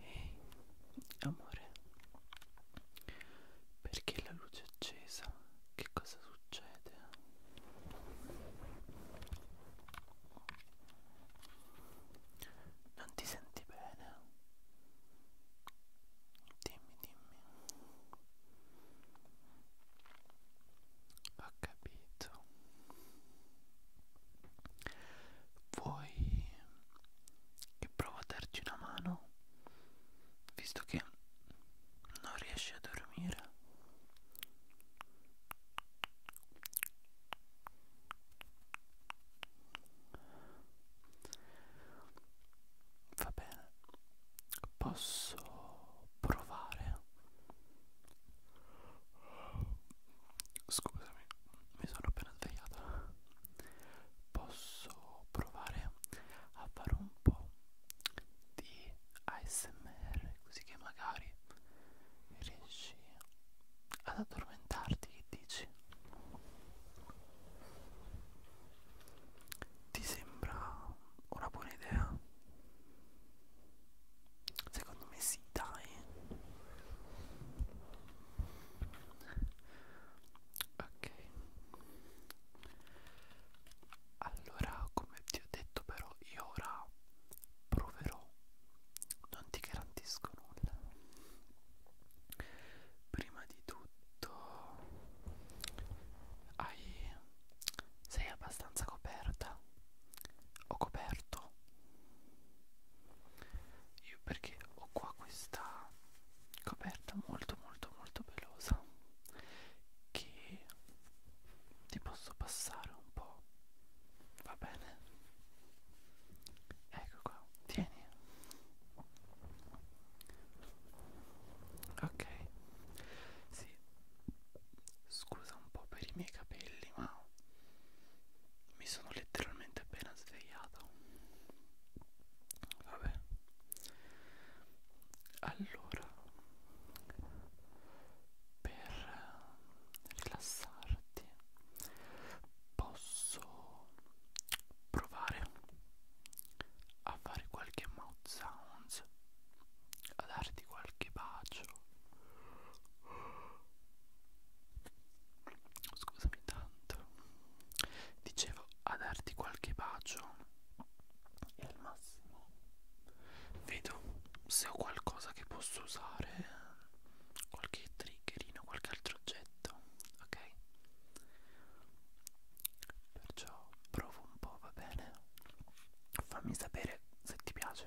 Ehi, amore, perché la luce è accesa? Che cosa succede? Non ti senti bene? Dimmi, dimmi. Ho capito. Vuoi che provo a darti una mano? Visto che non riesci a dormire. Va bene posso provare scusami mi sono appena svegliata posso provare a fare un po' di ASMR così che magari riesci ad addormentarti che dici ti sembra una buona idea? Secondo me sì, dai. Ok. Allora, come ti ho detto però, io ora proverò. Non ti garantisco nulla prima di tutto hai, sei abbastanza coperta ho coperto io perché ho qua questa coperta molto molto molto pelosa che ti posso passare un po' va bene ecco qua tieni ok sì scusa un po' per i miei capelli ma mi sono letteralmente appena svegliato vabbè allora per rilassarti posso provare a fare qualche mouth sounds a darti qualche bacio scusami tanto dicevo a darti qualche bacio e al massimo vedo se ho qualcosa che posso usare qualche triggerino qualche altro oggetto ok Perciò provo un po', va bene? Fammi sapere se ti piace.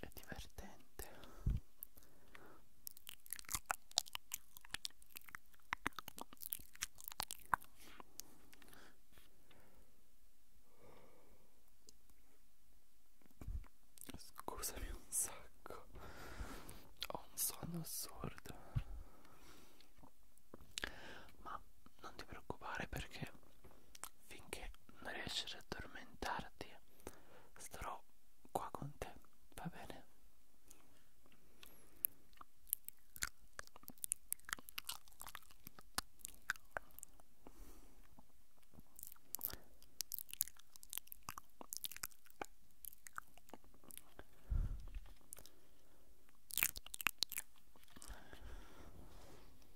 è divertente Scusami un sacco, ho un sonno assurdo, ma non ti preoccupare perché finché non riesci ad addormentarti starò qua con te va bene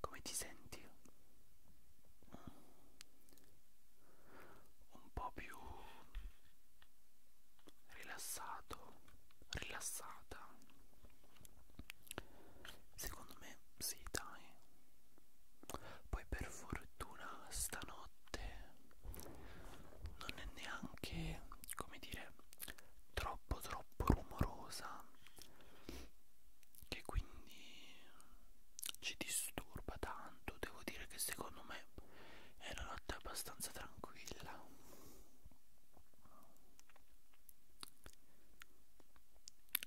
Come ti senti? Un po' più rilassato, rilassata. Secondo me sì, dai. Poi per fortuna stanotte non è neanche, come dire, troppo troppo rumorosa che quindi ci disturba tanto devo dire che secondo me è una notte abbastanza tranquilla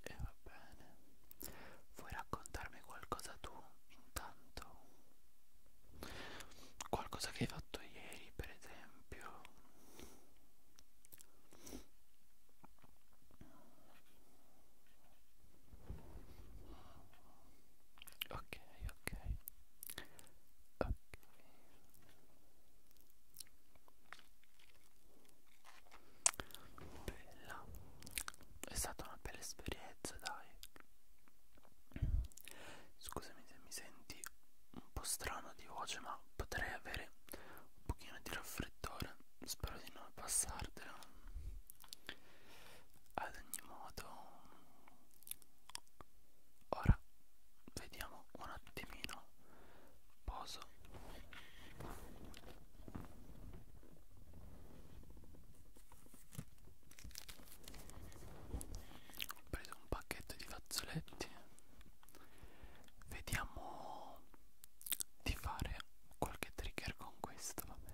e va bene vuoi raccontarmi qualcosa tu intanto qualcosa che hai fatto ieri per esempio ok ok ok bella è stata una bella esperienza dai scusami se mi senti un un po' strano di voce ma potrei avere un pochino di raffreddore spero di non passartelo ad ogni modo ora vediamo un attimino poso ho preso un pacchetto di fazzoletti vediamo di fare qualche trigger con questo va bene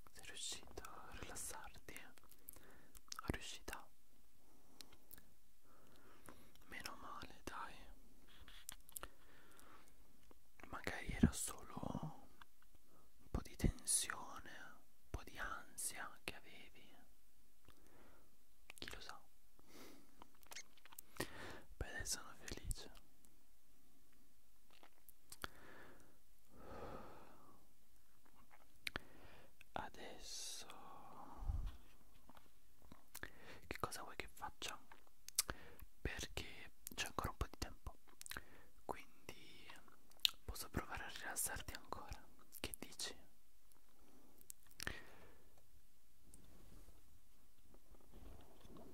Sei riuscito a rilassarti? A riuscita? Meno male, dai. Magari era solo un po' di tensione, un po' di ansia che avevi. Chi lo sa? Beh, sono felice. Adesso che cosa vuoi che faccia? Perché c'è ancora un po' di tempo, quindi posso provare a rilassarti ancora. Che dici?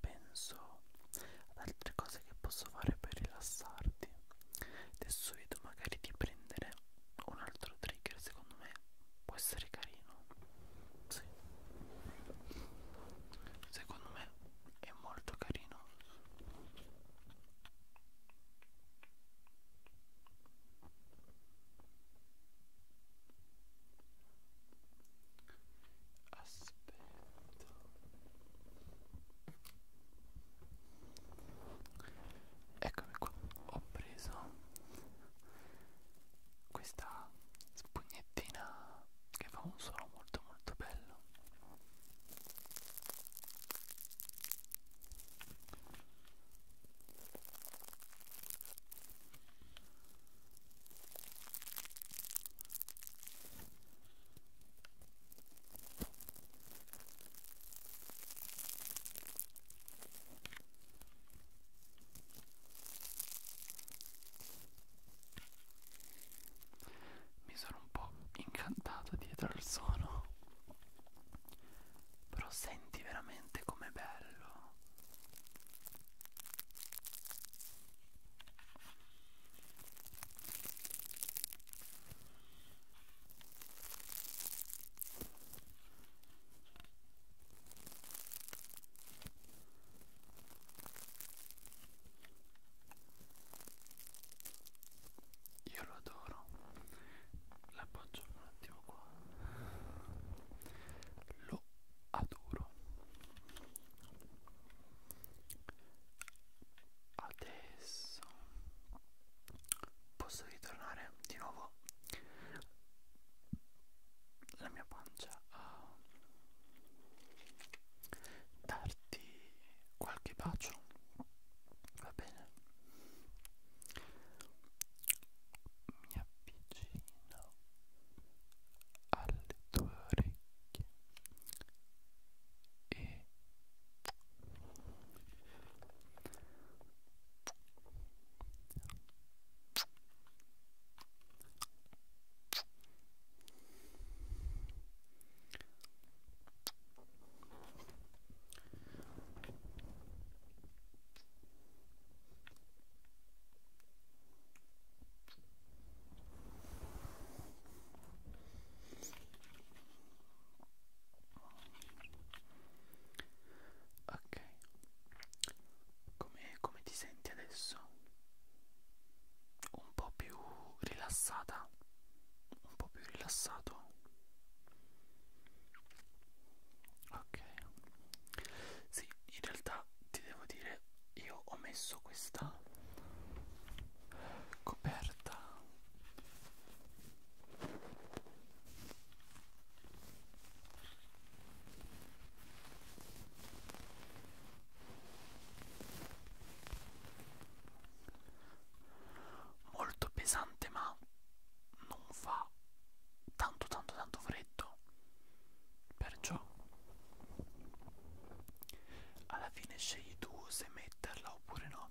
Penso ad altre cose che posso fare per rilassarti. Adesso vedo magari di prendere un altro trigger, secondo me può essere carino. Sì. Secondo me è molto carino aspetta eccomi qua ho preso questa spugnettina che fa un suono molto molto bello mi sono un po' incantato dietro al suono, però senti veramente com'è bello io lo adoro. La Faccio un attimo qua. Lo adoro. Adesso posso ritornare di nuovo. La mia pancia a darti qualche bacio. Va bene mi avvicino alle tue orecchie e Ok, come, come ti senti adesso? Un po' più rilassata? Un po' più rilassato? ok sì in realtà ti devo dire io ho messo questa coperta molto pesante ma non fa tanto tanto tanto freddo stretto. Perciò, alla fine scegli tu se metterla oppure no.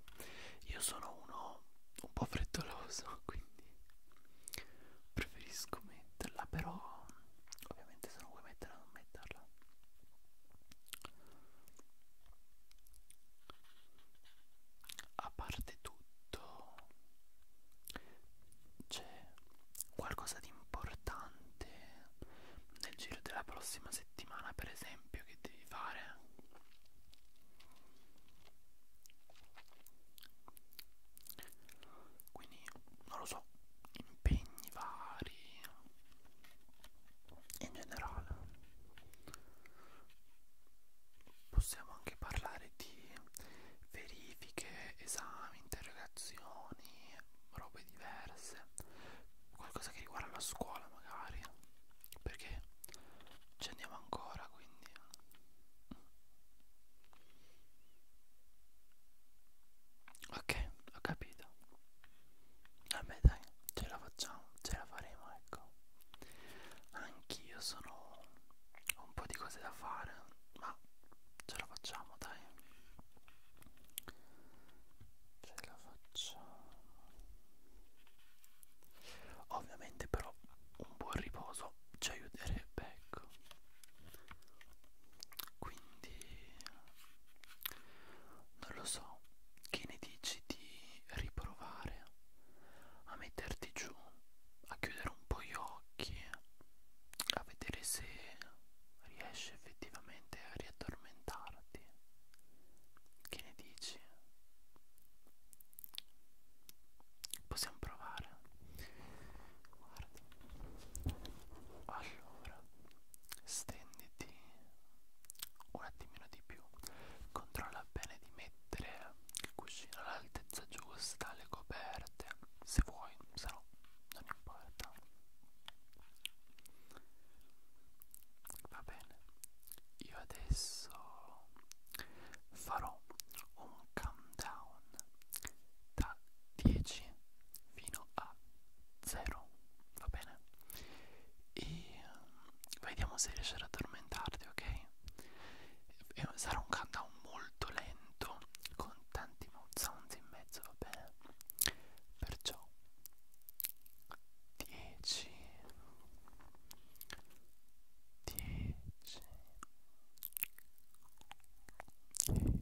Io sono uno un po' frettoloso, quindi preferisco metterla, però ovviamente se non vuoi metterla non metterla a parte tutto c'è qualcosa di importante nel giro della prossima settimana per esempio che devi fare quindi non lo so impegni vari in generale possiamo anche parlare di verifiche, esami, interrogazioni, robe diverse, qualcosa che riguarda la scuola magari, perché ci andiamo ancora quindi. Ok, ho capito. Vabbè dai, ce la facciamo, ce la faremo, ecco. Anch'io sono ho un po' di cose da fare, ma ce la facciamo, dai. Ce la facciamo. Ovviamente però un buon riposo ci aiuterebbe, ecco. Quindi non lo so, che ne dici di riprovare a metterti giù a chiudere un po' gli occhi, a vedere se riesci effettivamente a riaddormentarti. Che ne dici? Possiamo provare. Guarda. Allora, stenditi un attimino di più. Controlla bene di mettere il cuscino all'altezza giusta, le coperte, se vuoi, se no non importa. Va bene, io adesso farò un countdown da 10 fino a 0, va bene? E mm, vediamo se riesci ad addormentarti, ok? sarà un countdown molto lento con tanti mouth sounds in mezzo va bene perciò 10 10 10 10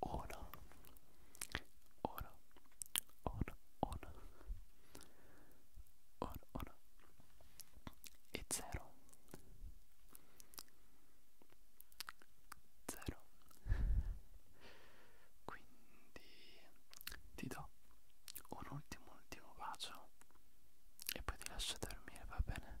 Ora, ora, ora, ora, ora, ora, e zero, zero, quindi ti do un ultimo, ultimo bacio e poi ti lascio dormire, va bene?